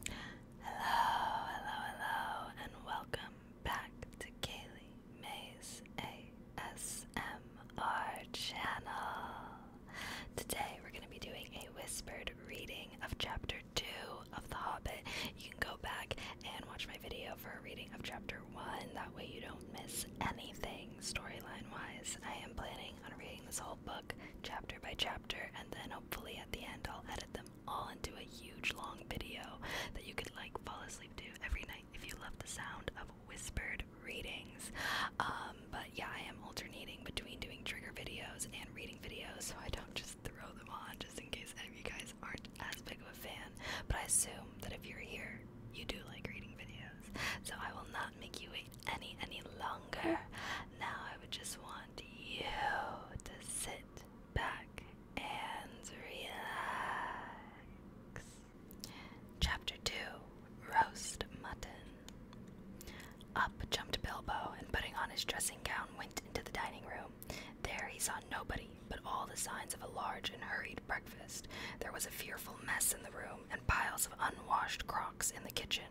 Hello, hello, hello, and welcome back to Kaylee Mays ASMR channel. Today we're going to be doing a whispered reading of chapter 2 of The Hobbit. You can go back and watch my video for a reading of chapter 1, that way you don't miss anything storyline wise. I am planning on reading this whole book chapter by chapter, and then hopefully at the end I'll edit them all into a huge long video that you could like fall asleep to every night if you love the sound of whispered readings. Um, but yeah, I am alternating between doing trigger videos and reading videos so I don't just throw them on just in case any of you guys aren't as big of a fan. But I assume that if you're here, you do like reading videos. So I will not make you wait any any longer. Now I would just want you to sit back and relax. Chapter 2 Roast Mutton. Up jumped Bilbo and, putting on his dressing gown, went into the dining room. There he saw nobody but all the signs of a large and hurried breakfast. There was a fearful mess in the room and piles of unwashed crocks in the kitchen.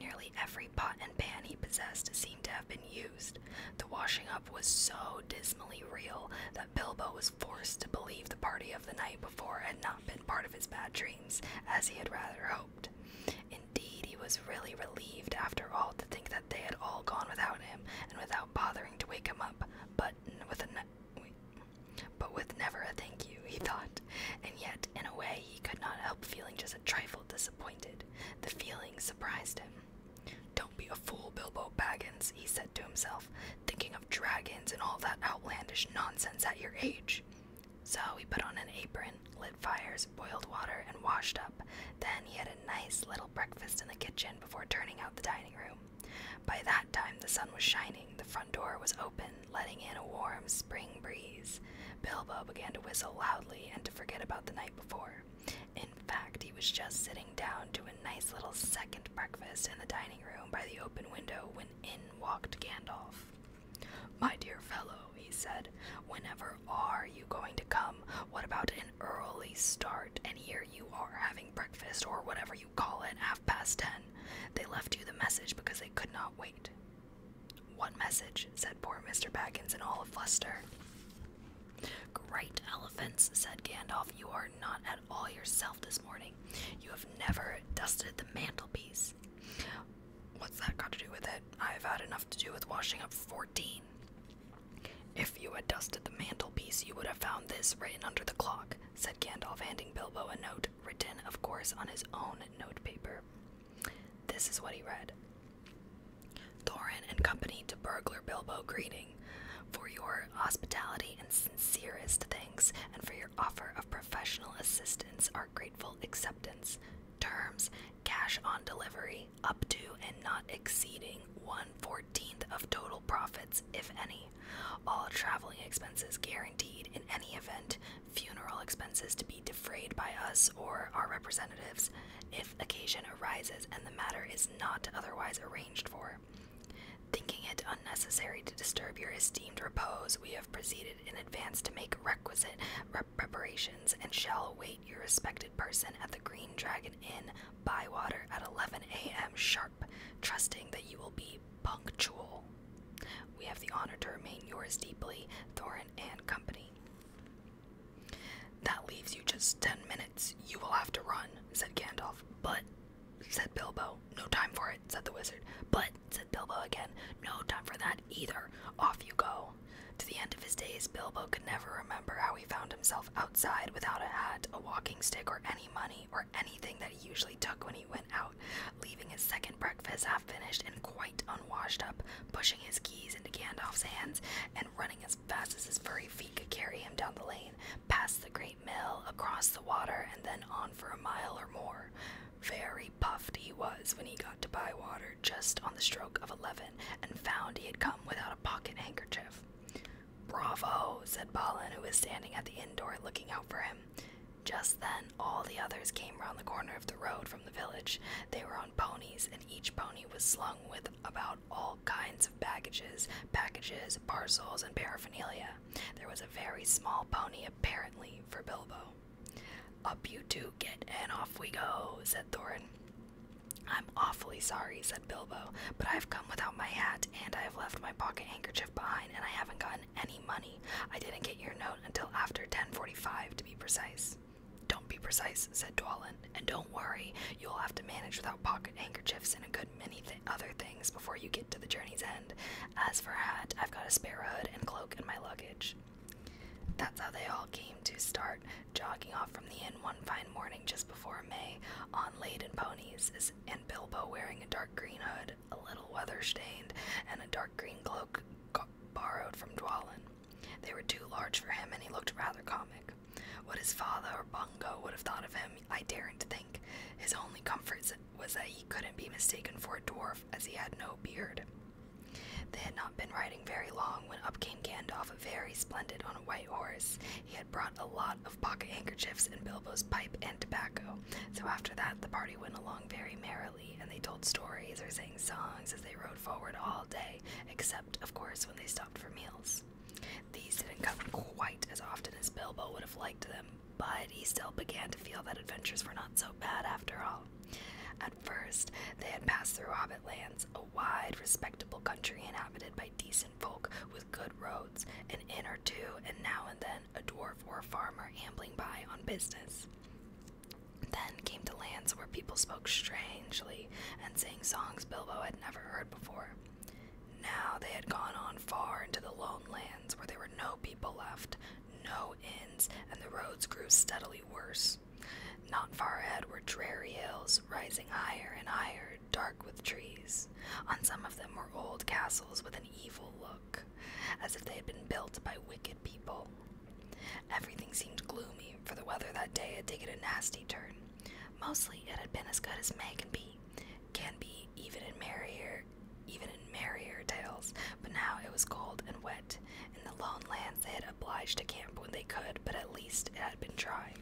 Nearly every pot and pan he possessed seemed to have been used. The washing up was so dismally real that Bilbo was forced to believe the party of the night before had not been part of his bad dreams, as he had rather hoped. Indeed, he was really relieved after all to think that they had all gone without him and without bothering to wake him up, but with a but with never a thank you, he thought. And yet, in a way, he could not help feeling just a trifle disappointed. The feeling surprised him. Don't be a fool, Bilbo Baggins, he said to himself, thinking of dragons and all that outlandish nonsense at your age. So he put on an apron, lit fires, boiled water, and washed up. Then he had a nice little breakfast in the kitchen before turning out the dining room. By that time, the sun was shining, the front door was open, letting in a warm, spring breeze. Bilbo began to whistle loudly and to forget about the night before. In fact, he was just sitting down to a nice little second breakfast in the dining room by the open window when in walked Gandalf. My dear fellow, he said, whenever are you going to come? What about an early start? And here you are having breakfast or whatever you call it, half past ten. They left you the message because they could not wait. What message? said poor Mr. Baggins in all a fluster. Great elephants, said Gandalf, you are not at all yourself this morning. You have never dusted the mantelpiece. What's that got to do with it? I've had enough to do with washing up 14. If you had dusted the mantelpiece, you would have found this written under the clock, said Gandalf, handing Bilbo a note, written, of course, on his own notepaper. This is what he read Thorin and company to burglar Bilbo greeting, for your hospitality and sincerest thanks, and for your offer of professional assistance, our grateful acceptance. Terms: cash on delivery, up to and not exceeding one fourteenth of total profits, if any. All traveling expenses guaranteed in any event funeral expenses to be defrayed by us or our representatives if occasion arises and the matter is not otherwise arranged for. Thinking it unnecessary to disturb your esteemed repose, we have proceeded in advance to make requisite preparations and shall await your respected person at the Green Dragon Inn, Bywater, at 11 a.m. sharp, trusting that you will be punctual. We have the honor to remain yours deeply, Thorin and Company. That leaves you just ten minutes. You will have to run, said Gandalf. But, said Bilbo, no time for it, said the wizard. But, said Bilbo again, no time for that either. Off you go. To the end of his days, Bilbo could never remember how he found himself outside without a hat, a walking stick, or any money, or anything that he usually took when he went out, leaving his second breakfast half finished and quite unwashed up, pushing his keys into Gandalf's hands and running as fast as his furry feet could carry him down the lane, past the great mill, across the water, and then on for a mile or more. Very puffed he was when he got to Bywater just on the stroke of eleven, and found he had come without a pocket handkerchief. Bravo, said Balin, who was standing at the inn door looking out for him. Just then all the others came round the corner of the road from the village, they were on ponies, and each pony was slung with about all kinds of baggages, packages, parcels, and paraphernalia. There was a very small pony, apparently, for Bilbo. Up you two get, and off we go, said Thorin. I'm awfully sorry, said Bilbo, but I've come without my hat, and I have left my pocket handkerchief behind, and I haven't gotten any money. I didn't get your note until after 1045, to be precise. Don't be precise, said Dwallin, and don't worry, you'll have to manage without pocket handkerchiefs and a good many other things before you get to the journey's end. As for hat, I've got a spare hood and cloak in my luggage. That's how they all came to start jogging off from the inn one fine morning just before May, on laden ponies, and Bilbo wearing a dark green hood, a little weather stained, and a dark green cloak borrowed from Dwalin. They were too large for him, and he looked rather comic. What his father or Bungo would have thought of him, I daren't think. His only comfort was that he couldn't be mistaken for a dwarf, as he had no beard. They had not been riding very long when up came Gandalf, very splendid on a white horse. He had brought a lot of pocket handkerchiefs and Bilbo's pipe and tobacco, so after that the party went along very merrily and they told stories or sang songs as they rode forward all day, except, of course, when they stopped for meals. These didn't come quite as often as Bilbo would have liked them, but he still began to feel that adventures were not so bad after all. At first, they had passed through Hobbit lands, a wide, respectable country inhabited by decent folk with good roads, an inn or two, and now and then a dwarf or a farmer ambling by on business. Then came to lands where people spoke strangely and sang songs Bilbo had never heard before. Now they had gone on far into the lone lands where there were no people left, no inns, and the roads grew steadily worse. Not far ahead were dreary hills, rising higher and higher, dark with trees. On some of them were old castles with an evil look, as if they had been built by wicked people, Everything seemed gloomy, for the weather that day had taken a nasty turn. Mostly it had been as good as May can be, can be even in merrier even in merrier tales, but now it was cold and wet. In the lone lands they had obliged to camp when they could, but at least it had been dry.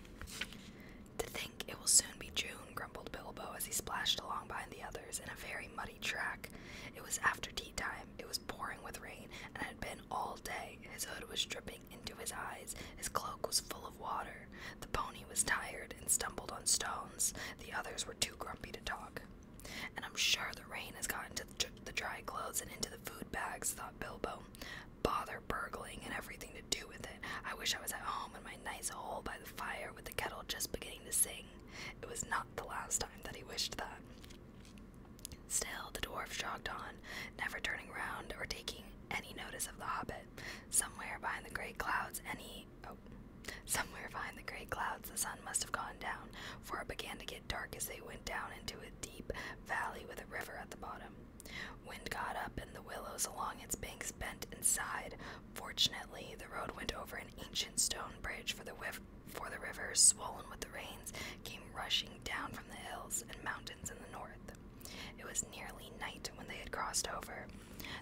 To think it will soon be June, grumbled Bilbo as he splashed along behind the others in a very muddy track. It was after tea time. It was pouring with rain and it had been all day. His hood was dripping into his eyes. His cloak was full of water. The pony was tired and stumbled on stones. The others were too grumpy to talk. And I'm sure the rain has gotten to the dry clothes and into the food bags, thought Bilbo. Bother burgling and everything to do with it. I wish I was at home in my nice hole by the fire with the kettle just beginning to sing. It was not the last time that he wished that. Still, the dwarf jogged on, never turning round or taking any notice of the hobbit. Somewhere behind the gray clouds, any oh, somewhere behind the gray clouds, the sun must have gone down, for it began to get dark as they went down into a deep valley with a river at the bottom. Wind got up, and the willows along its banks bent and sighed. Fortunately, the road went over an ancient stone bridge, for the for the river, swollen with the rains, came rushing down from the hills and mountains in the north. It was nearly night when they had crossed over.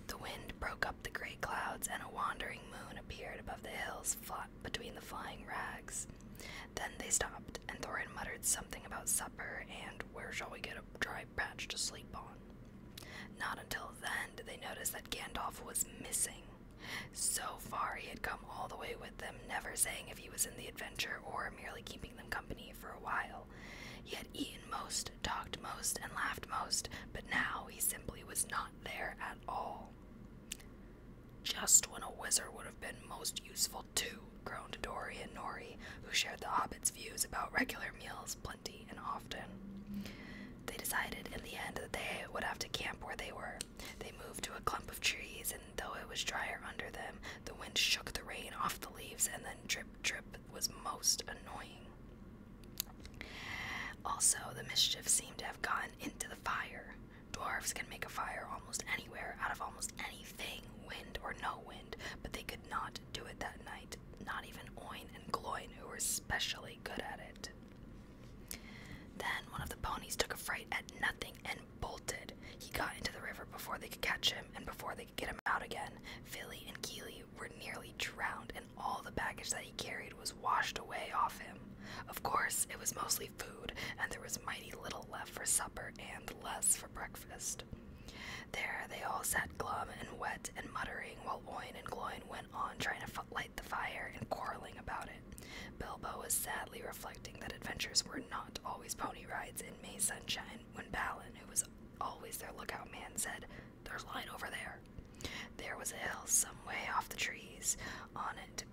The wind broke up the gray clouds, and a wandering moon appeared above the hills fought between the flying rags. Then they stopped, and Thorin muttered something about supper and where shall we get a dry patch to sleep on. Not until then did they notice that Gandalf was missing. So far, he had come all the way with them, never saying if he was in the adventure or merely keeping them company for a while. He had eaten most, talked most, and laughed most, but now he simply was not there at all. Just when a wizard would have been most useful, too, groaned Dori and Nori, who shared the hobbit's views about regular meals plenty and often. They decided in the end that they would have to camp where they were, they moved to a clump of trees, and though it was drier under them, the wind shook the rain off the leaves, and then drip drip was most annoying. Also, the mischief seemed to have gotten into the fire. Dwarves can make a fire almost anywhere, out of almost anything, wind or no wind, but they could not do it that night, not even Oin and Gloin, who were specially good at it. Then one of the ponies took a fright at nothing and bolted. He got into the river before they could catch him and before they could get him out again. Philly and Keeley were nearly drowned, and all the baggage that he carried was washed away off him. Of course, it was mostly food, and there was mighty little left for supper and less for breakfast. There they all sat glum and wet and muttering while Oin and Gloin went on trying to light the fire and quarreling about it it. Bilbo was sadly reflecting that adventures were not always pony rides in May sunshine when Balin, who was always their lookout man, said, There's light over there. There was a hill some way off the trees on it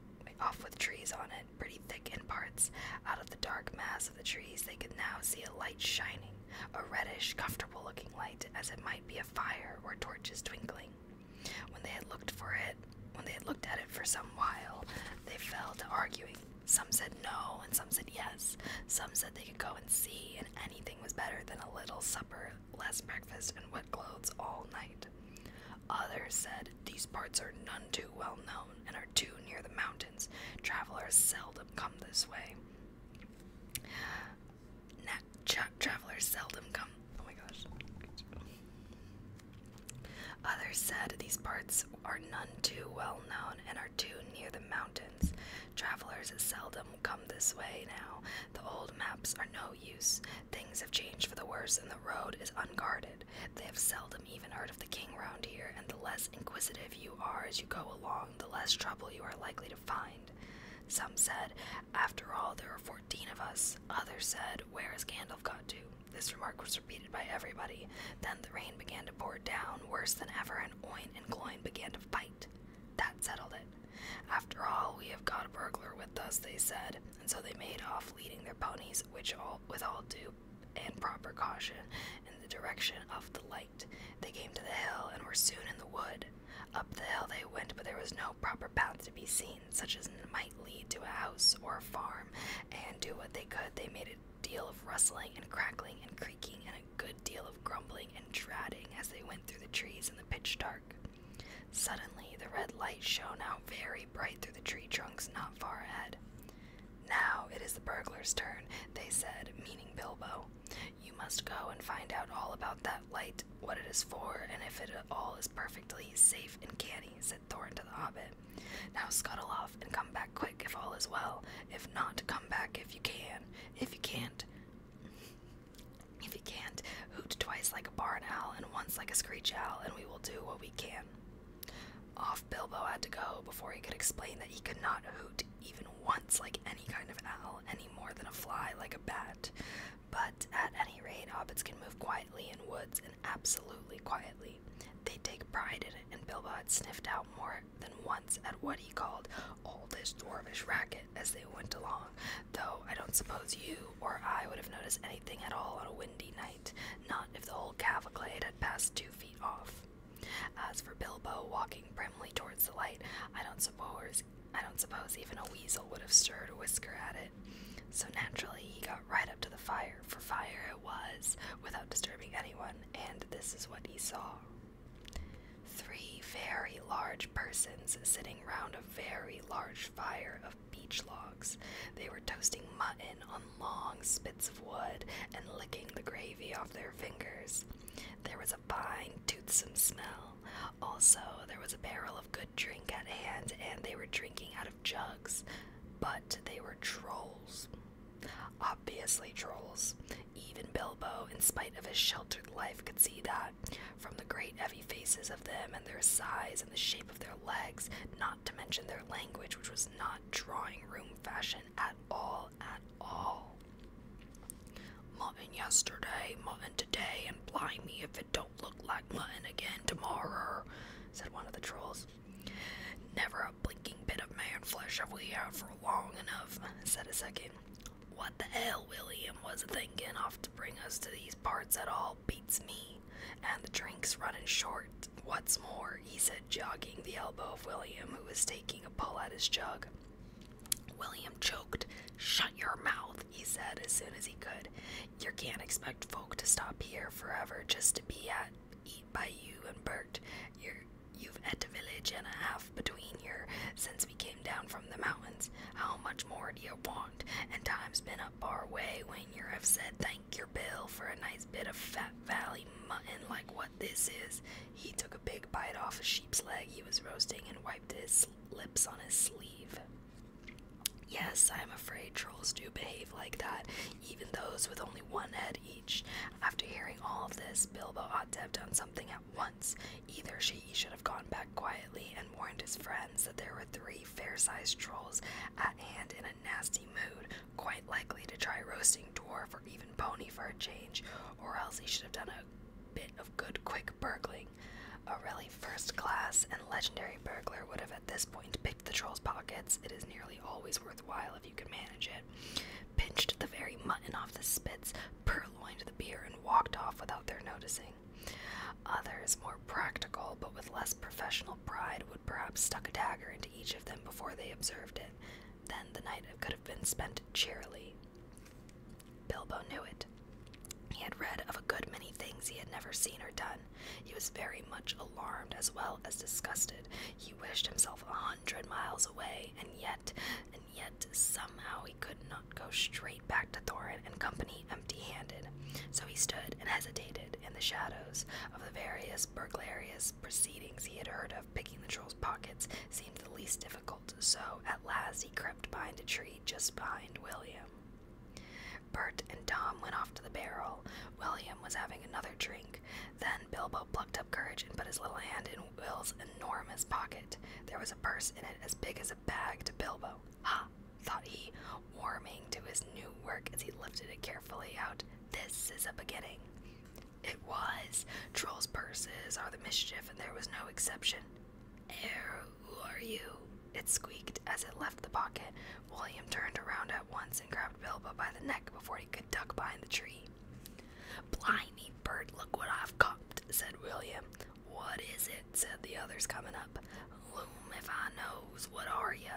off with trees on it, pretty thick in parts. Out of the dark mass of the trees they could now see a light shining, a reddish, comfortable looking light, as it might be a fire or torches twinkling. When they had looked for it, when they had looked at it for some while, they fell to arguing. Some said no, and some said yes. Some said they could go and see, and anything was better than a little supper, less breakfast, and wet clothes all night. Others said these parts are none too well known and are too near the mountains. Travelers seldom come this way. Nat travelers seldom come. Oh my gosh. Others said these parts are none too well known and are too near the mountains. Travelers seldom come this way now. The old maps are no use. Things have changed for the worse, and the road is unguarded. They have seldom even heard of the king round here, and the less inquisitive you are as you go along, the less trouble you are likely to find. Some said, after all, there were fourteen of us. Others said, Where has Gandalf got to? This remark was repeated by everybody. Then the rain began to pour down worse than ever, and Oin and Gloin began to fight. That settled it. After all, we have got a burglar with us, they said, and so they made off, leading their ponies, which all with all due and proper caution, in the direction of the light. They came to the hill and were soon in the wood. Up the hill they went, but there was no proper path to be seen, such as might lead to a house or a farm, and do what they could, they made a deal of rustling and crackling and creaking, and a good deal of grumbling and dratting as they went through the trees in the pitch dark. Suddenly, the red light shone out very bright through the tree trunks not far ahead. Now it is the burglar's turn, they said, meaning Bilbo. You must go and find out all about that light what it is for, and if it all is perfectly safe and canny," said Thorn to the Hobbit. "Now scuttle off and come back quick if all is well. If not, come back if you can. If you can't, if you can't, hoot twice like a barn owl and once like a screech owl, and we will do what we can." Off Bilbo had to go before he could explain that he could not hoot even once like any kind of an owl, any more than a fly like a bat. But at any rate, hobbits can move quietly in woods and absolutely quietly. They take pride in it, and Bilbo had sniffed out more than once at what he called all this dwarfish racket as they went along, though I don't suppose you or I would have noticed anything at all on a windy night, not if the whole cavalcade had passed two feet off. As for Bilbo walking primly towards the light, I don't suppose I don't suppose even a weasel would have stirred a whisker at it. So naturally, he got right up to the fire, for fire it was, without disturbing anyone, and this is what he saw. Three very large persons sitting round a very large fire of beech logs. They were toasting mutton on long spits of wood and licking the gravy off their fingers. There was a fine, toothsome smell, also, there was a barrel of good drink at hand, and they were drinking out of jugs, but they were trolls. Obviously, trolls. Even Bilbo, in spite of his sheltered life, could see that. From the great heavy faces of them and their size and the shape of their legs, not to mention their language, which was not drawing room fashion at all, at all. Mutton yesterday, mutton today, and blimey if don't look like mutton again tomorrow, said one of the trolls. Never a blinking bit of man flesh have we had for long enough, said a second. What the hell William was thinking off to bring us to these parts at all beats me, and the drink's running short. What's more, he said, jogging the elbow of William, who was taking a pull at his jug. William choked. Shut your mouth, he said as soon as he could. You can't expect folk to stop here forever just to be at eat by you and Bert. You're, you've had a village and a half between here since we came down from the mountains. How much more do you want? And time's been up our way when you have said thank your bill for a nice bit of fat valley mutton like what this is. He took a big bite off a sheep's leg he was roasting and wiped his lips on his sleeve. Yes, I am afraid trolls do behave like that, even those with only one head each. After hearing all this, Bilbo ought to have done something at once. Either she should have gone back quietly and warned his friends that there were three fair sized trolls at hand in a nasty mood, quite likely to try roasting Dwarf or even Pony for a change, or else he should have done a bit of good quick burgling a really first class and legendary burglar would have at this point picked the troll's pockets, it is nearly always worthwhile if you can manage it, pinched the very mutton off the spits, purloined the beer, and walked off without their noticing. Others, more practical but with less professional pride, would perhaps stuck a dagger into each of them before they observed it. Then the night could have been spent cheerily. Bilbo knew it. He had read of a good many things he had never seen or done. He was very much alarmed as well as disgusted. He wished himself a hundred miles away, and yet, and yet, somehow he could not go straight back to Thorin and company empty-handed. So he stood and hesitated in the shadows of the various burglarious proceedings he had heard of. Picking the troll's pockets seemed the least difficult so at last he crept behind a tree just behind William. Bert and Tom went off to the barrel. William was having another drink. Then Bilbo plucked up courage and put his little hand in Will's enormous pocket. There was a purse in it as big as a bag to Bilbo. Ha! thought he, warming to his new work as he lifted it carefully out. This is a beginning. It was. Trolls' purses are the mischief, and there was no exception. Air, who are you? It squeaked as it left the pocket. William turned around at once and grabbed Bilbo by the neck before he could duck behind the tree. Blimey, bird, look what I've copped, said William. What is it? said the others, coming up. Loom, if I knows, what are you?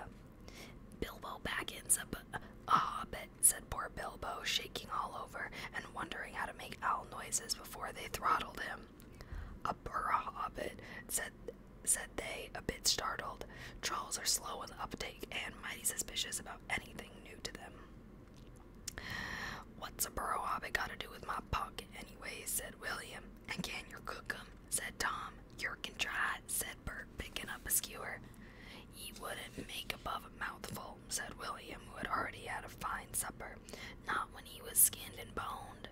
Bilbo back Baggins, a, ah, a hobbit, said poor Bilbo, shaking all over and wondering how to make owl noises before they throttled him. A burra hobbit, said, said they, a bit startled. Trolls are slow in uptake and mighty suspicious about anything new to them. What's a burrow hobbit got to do with my pocket, anyways? said William. And can your cook 'em? said Tom. You can try, said Bert, picking up a skewer. Ye wouldn't make above a mouthful, said William, who had already had a fine supper not when he was skinned and boned.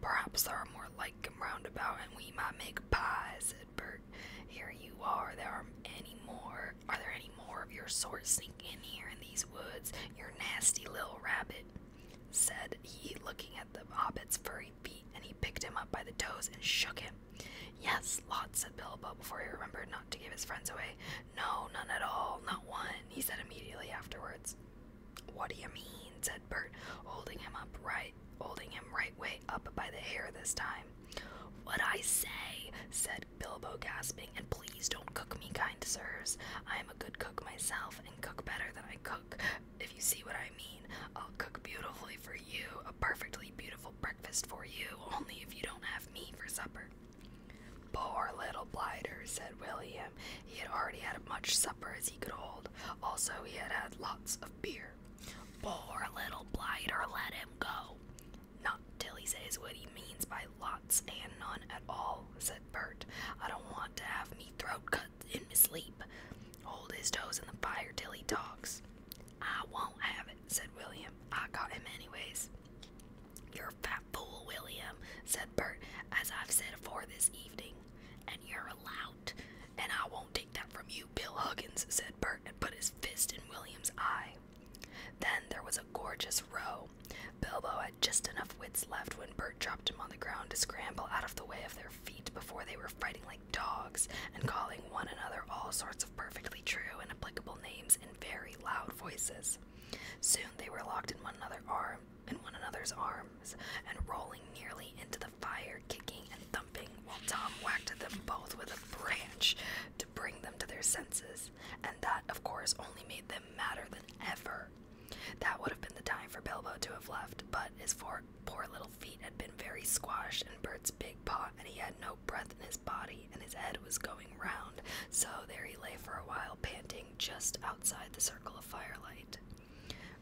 Perhaps there are more like him round about, and we might make pie," said Bert. "Here you are. There are any more? Are there any more of your sort sneaking in here in these woods? you nasty little rabbit," said he, looking at the hobbit's furry feet, and he picked him up by the toes and shook him. Yes, lots," said Bilbo before he remembered not to give his friends away. No, none at all, not one, he said immediately afterwards. What do you mean? said Bert, holding him up right, holding him right way up by the hair this time. What I say, said Bilbo, gasping, and please don't cook me, kind sirs. I am a good cook myself, and cook better than I cook, if you see what I mean. I'll cook beautifully for you, a perfectly beautiful breakfast for you, only if you don't have me for supper. Poor little blighter, said William. He had already had as much supper as he could hold. Also, he had had lots of beer. Poor little blighter, let him go. Not till he says what he means by lots and none at all, said Bert. I don't want to have me throat cut in my sleep. Hold his toes in the fire till he talks. I won't have it, said William. I got him anyways. You're a fat fool, William, said Bert, as I've said afore this evening. And you're a lout. And I won't take that from you, Bill Huggins, said Bert, and put his fist in William's eye. Then there was a gorgeous row. Bilbo had just enough wits left when Bert dropped him on the ground to scramble out of the way of their feet before they were fighting like dogs and calling one another all sorts of perfectly true and applicable names in very loud voices. Soon they were locked in one another's arms and rolling nearly into the fire, kicking and thumping, while Tom whacked them both with a branch to bring them to their senses. And that, of course, only made them madder than ever. That would have been the time for Bilbo to have left, but his four poor little feet had been very squashed in Bert's big paw, and he had no breath in his body, and his head was going round, so there he lay for a while, panting just outside the circle of firelight.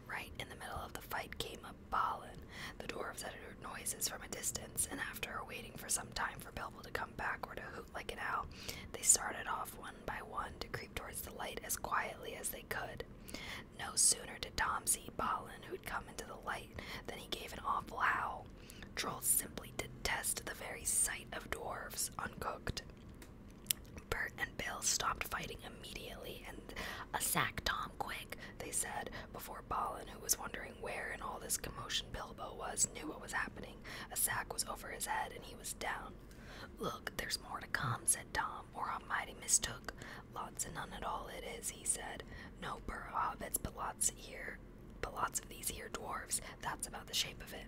Right in the middle of the fight came up Balin. The dwarves had heard noises from a distance, and after waiting for some time for Bilbo to come back or to hoot like an owl, they started off one by one to creep towards the light as quietly as they could. No sooner did Tom see Balin, who'd come into the light, than he gave an awful howl. Trolls simply detest the very sight of dwarfs uncooked. Bert and Bill stopped fighting immediately and a sack Tom quick, they said, before Balin, who was wondering where in all this commotion Bilbo was, knew what was happening. A sack was over his head and he was down. Look, there's more to come, said Tom, or I'm mighty mistook. Lots and none at all it is, he said. No burr hobbits, but lots here but lots of these here dwarfs. That's about the shape of it.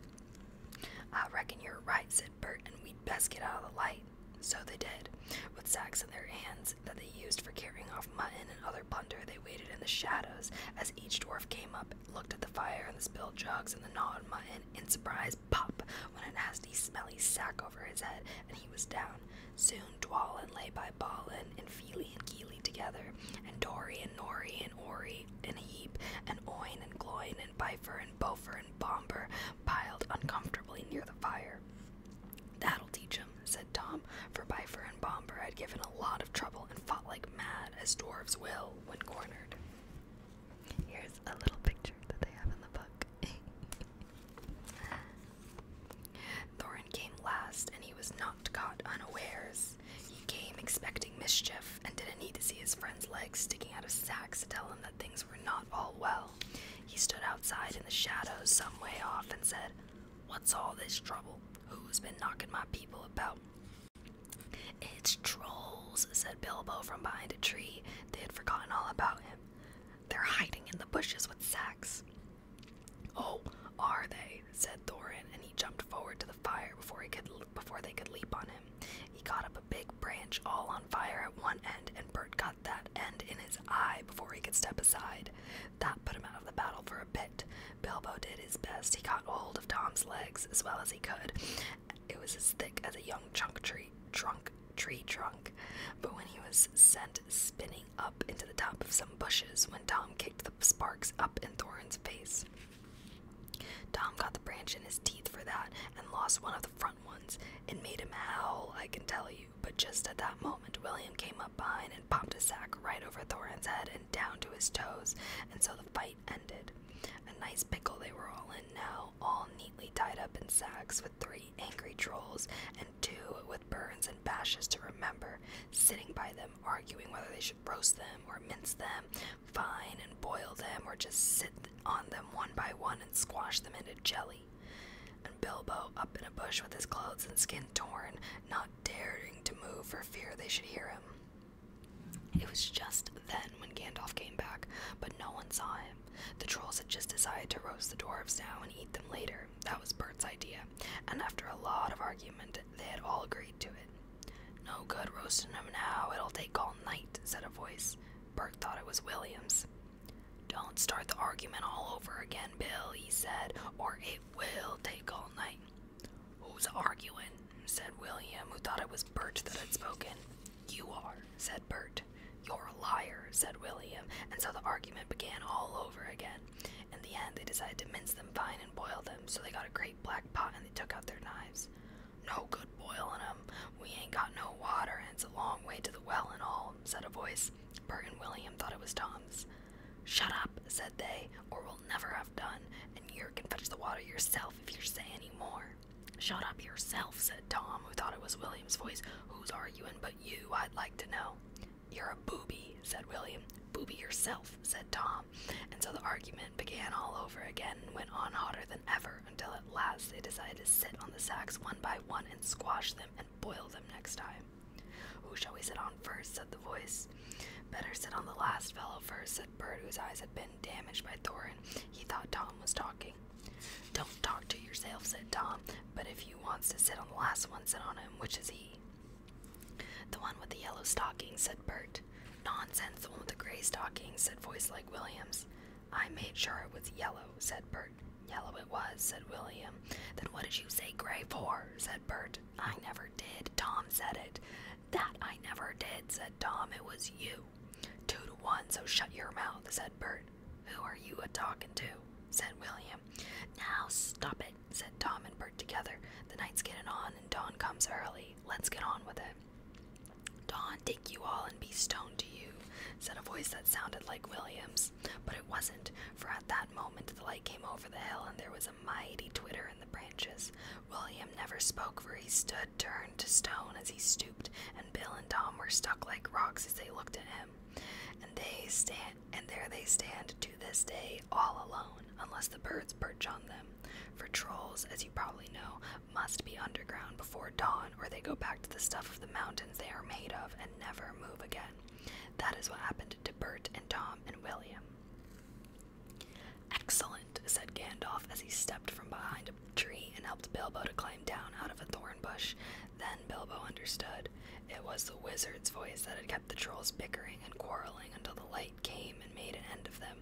I reckon you're right, said Bert, and we'd best get out of the light. So they did. With sacks in their hands that they used for carrying off mutton and other plunder, they waited in the shadows as each dwarf came up, looked at the fire and the spilled jugs and the gnawed mutton, in surprise, pop, went a nasty, smelly sack over his head, and he was down. Soon, Dwalin lay by Balin and Feely and Keely together, and Dori and Nori and Ori heap and heap, and oin and gloin and bifer and bofer and bomber piled uncomfortably near the fire. That'll teach him, said Tom, for bifer and bomber had given a lot of trouble and fought like mad, as dwarfs will when cornered. Here's a little picture that they have in the book. Thorin came last, and he was not caught unawares. He came expecting mischief and didn't need to see his friend's legs sticking out of sacks to tell him that things were not all well. He stood outside in the shadows some way off and said, What's all this trouble? Who's been knocking my people about? It's trolls, said Bilbo from behind a tree. They had forgotten all about him. They're hiding in the bushes with sacks. Oh, are they? said Thorin, and he jumped forward to the fire before he could before they could leap on him. He caught up a big branch all on fire at one end, and Bert got that end in his eye before he could step aside. That put him out of the battle for a bit. Bilbo did his best. He caught hold of Tom's legs as well as he could. It was as thick as a young chunk tree trunk tree trunk. But when he was sent spinning up into the top of some bushes, when Tom kicked the sparks up in Thorin's face. Tom got the branch in his teeth for that and lost one of the front ones. It made him howl, I can tell you, but just at that moment, William came up behind and popped a sack right over Thorin's head and down to his toes, and so the fight ended. A nice pickle they were all in now, all neatly tied up in sacks with three angry trolls and two with burns and bashes to remember, sitting by them, arguing whether they should roast them or mince them fine and boil them or just sit on them one by one and squash them into jelly. And Bilbo, up in a bush with his clothes and skin torn, not daring to move for fear they should hear him. It was just then when Gandalf came back, but no one saw him. The trolls had just decided to roast the dwarfs now and eat them later. That was Bert's idea, and after a lot of argument, they had all agreed to it. No good roasting them now. It'll take all night, said a voice. Bert thought it was Williams. Don't start the argument all over again, Bill, he said, or it will take all night. Who's arguing? said William, who thought it was Bert that had spoken. You are, said Bert. You're a liar, said William, and so the argument began all over again. In the end, they decided to mince them fine and them. So they got a great black pot and they took out their knives. No good boiling 'em. We ain't got no water and it's a long way to the well and all, said a voice. Bert and William thought it was Tom's. Shut up, said they, or we'll never have done, and you can fetch the water yourself if you say any more. Shut up yourself, said Tom, who thought it was William's voice. Who's arguing but you, I'd like to know. You're a booby, said William. Booby yourself, said Tom and so the argument began all over again and went on hotter than ever until at last they decided to sit on the sacks one by one and squash them and boil them next time. Who shall we sit on first? said the voice. Better sit on the last fellow first, said Bert, whose eyes had been damaged by Thorin. He thought Tom was talking. Don't talk to yourself, said Tom, but if you wants to sit on the last one, sit on him, which is he. The one with the yellow stockings, said Bert. Nonsense, the one with the gray stockings, said Voice Like Williams. I made sure it was yellow, said Bert. Yellow it was, said William. Then what did you say gray for? said Bert. I never did, Tom said it. That I never did, said Tom. It was you. Two to one, so shut your mouth, said Bert. Who are you a talking to? said William. Now stop it said Tom and Bert together. The night's getting on and dawn comes early. Let's get on with it. Dawn, take you all and be stoned to you, said a voice that sounded like William's. But it wasn't, for at that moment the light came over the hill and there was a mighty twitter in the branches. William never spoke, for he stood turned to stone as he stooped, and Bill and Tom were stuck like rocks as they looked at him. And they stand and there they stand to this day all alone unless the birds perch on them. For trolls, as you probably know, must be underground before dawn or they go back to the stuff of the mountains they are made of and never move again. That is what happened to Bert and Tom and William. Excellent, said Gandalf as he stepped from behind a tree and helped Bilbo to climb down out of a thorn bush. Then Bilbo understood. It was the wizard's voice that had kept the trolls bickering and quarreling until the light came and made an end of them.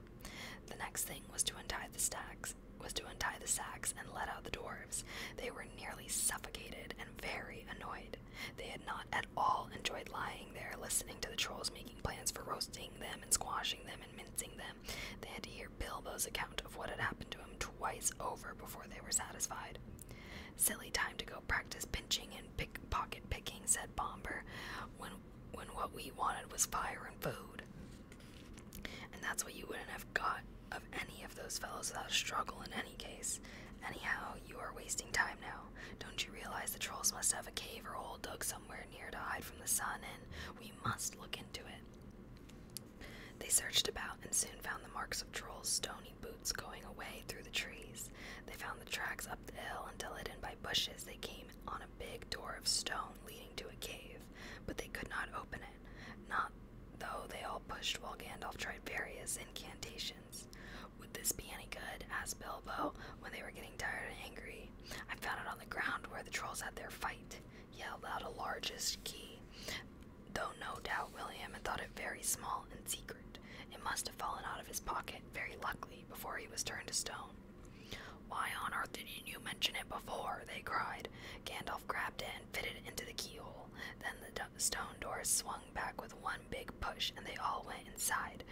The next thing was to untie the stacks was to untie the sacks and let out the dwarfs. They were nearly suffocated and very annoyed. They had not at all enjoyed lying there, listening to the trolls making plans for roasting them and squashing them and mincing them. They had to hear Bilbo's account of what had happened to him twice over before they were satisfied. Silly time to go practice pinching and pickpocket picking, said Bomber, when when what we wanted was fire and food. And that's what you wouldn't have got of any of those fellows without struggle in any case. Anyhow, you are wasting time now. Don't you realize the trolls must have a cave or hole dug somewhere near to hide from the sun, and we must look into it. They searched about and soon found the marks of trolls' stony boots going away through the trees. They found the tracks up the hill until hidden by bushes, they came on a big door of stone leading to a cave, but they could not open it, not though they all pushed while Gandalf tried various incantations. Would this be any good? asked Bilbo when they were getting tired and angry. I found it on the ground where the trolls had their fight, yelled out a largest key, though no doubt William had thought it very small and secret. It must have fallen out of his pocket, very luckily, before he was turned to stone. Why on earth didn't you mention it before? they cried. Gandalf grabbed it and fitted it into the keyhole. Then the stone door swung back with one big push, and they all went inside.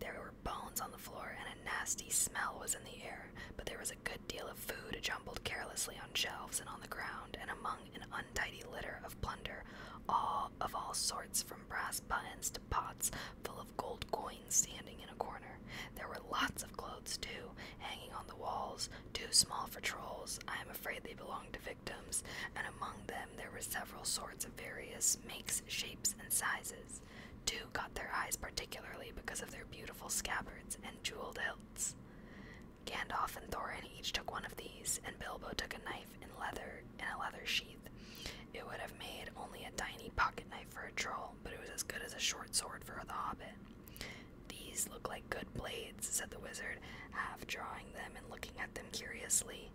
There were bones on the floor, and a nasty smell was in the air, but there was a good deal of food jumbled carelessly on shelves and on the ground, and among an untidy litter of plunder, all of all sorts, from brass buttons to pots full of gold coins standing in a corner. There were lots of clothes, too, hanging on the walls, too small for trolls. I am afraid they belonged to victims, and among them there were several swords of various makes, shapes, and sizes. Two caught their eyes particularly because of their beautiful scabbards and jeweled hilts. Gandalf and Thorin each took one of these, and Bilbo took a knife knife in leather in a leather sheath. It would have made only a tiny pocket knife for a troll, but it was as good as a short sword for the hobbit. These look like good blades, said the wizard, half drawing them and looking at them curiously.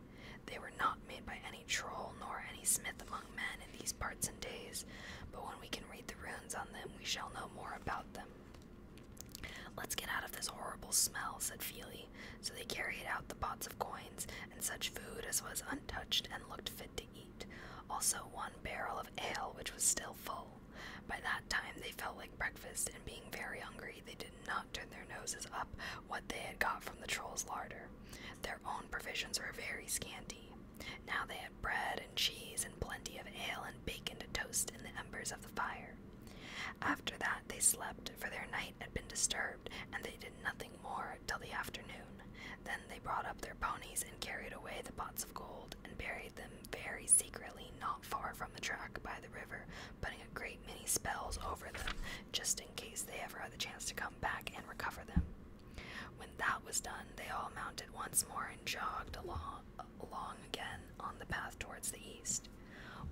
They were not made by any troll nor any smith among men in these parts and days, but when we can read the runes on them, we shall know more about them. Let's get out of this horrible smell, said Feely so they carried out the pots of coins and such food as was untouched and looked fit to eat, also one barrel of ale which was still full. By that time they felt like breakfast, and being very hungry, they did not turn their noses up what they had got from the troll's larder. Their own provisions were very scanty. Now they had bread and cheese and plenty of ale and bacon to toast in the embers of the fire. After that they slept, for their night had been disturbed, and they did nothing more till the afternoon. Then they brought up their ponies and carried away the pots of gold and buried them very secretly not far from the track by the river, putting a great many spells over them just in case they ever had the chance to come back and recover them. When that was done, they all mounted once more and jogged along, along again on the path towards the east.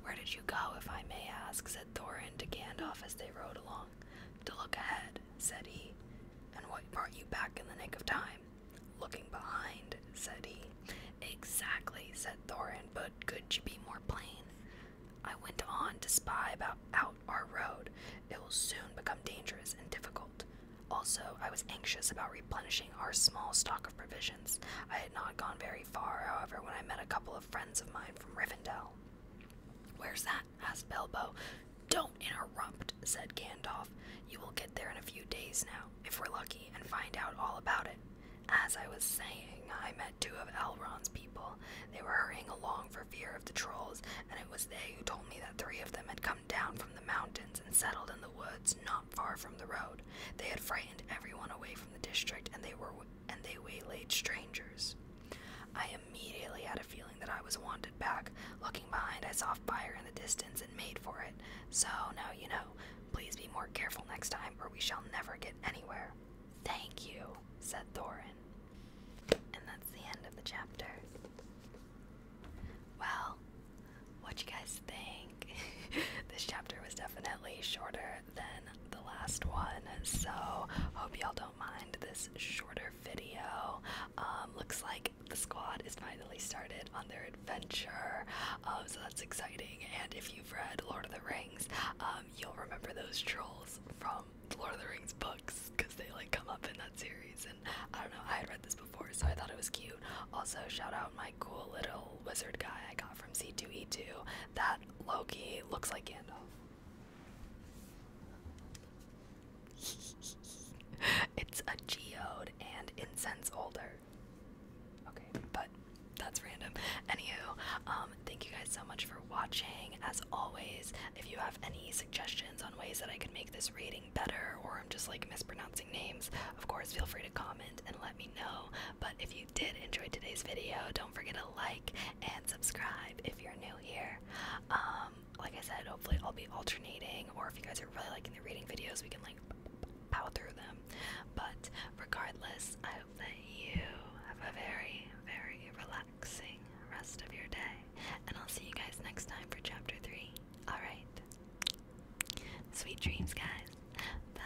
Where did you go, if I may ask? Said said Thorin to Gandalf as they rode along. To look ahead, said he. And what brought you back in the nick of time? Looking behind, said he. Exactly, said Thorin, but could you be more plain? I went on to spy about out our road. It will soon become dangerous and difficult. Also, I was anxious about replenishing our small stock of provisions. I had not gone very far, however, when I met a couple of friends of mine from Rivendell. Where's that? asked Bilbo. Don't interrupt, said Gandalf. You will get there in a few days now, if we're lucky, and find out all about it. As I was saying, I met two of Elrond's people. They were hurrying along for fear of the trolls, and it was they who told me that three of them had come down from the mountains and settled in the woods not far from the road. They had frightened everyone away from the district, and they were and they waylaid strangers. I immediately had a feeling that I was wanted back. Looking behind, I saw fire in the distance and made for it. So now you know, please be more careful next time, or we shall never get anywhere. Thank you, said Thorin. And that's the end of the chapter. Well, what you guys think? this chapter was definitely shorter than the last one, so hope y'all don't mind this shorter video. Um, looks like the squad is finally started on their adventure, um, so that's exciting. And if you've read Lord of the Rings, um, you'll remember those trolls from Lord of the Rings books because they like come up in that series. And I don't know, I had read this before, so I thought it was cute. Also, shout out my cool little wizard guy I got from C2E2. That Loki looks like Gandalf. it's a geode and incense holder. Okay, but that's random. Anywho, um, thank you guys so much for watching. As always, if you have any suggestions on ways that I could make this reading better, or I'm just like mispronouncing names, of course, feel free to comment and let me know. But if you did enjoy today's video, don't forget to like and subscribe if you're new here. Um, like I said, hopefully I'll be alternating, or if you guys are really liking the reading videos, we can like power through them. But regardless, I hope that you have a very, very relaxing rest of your day. And I'll see you guys next time for chapter three. Alright. Sweet dreams, guys. Bye.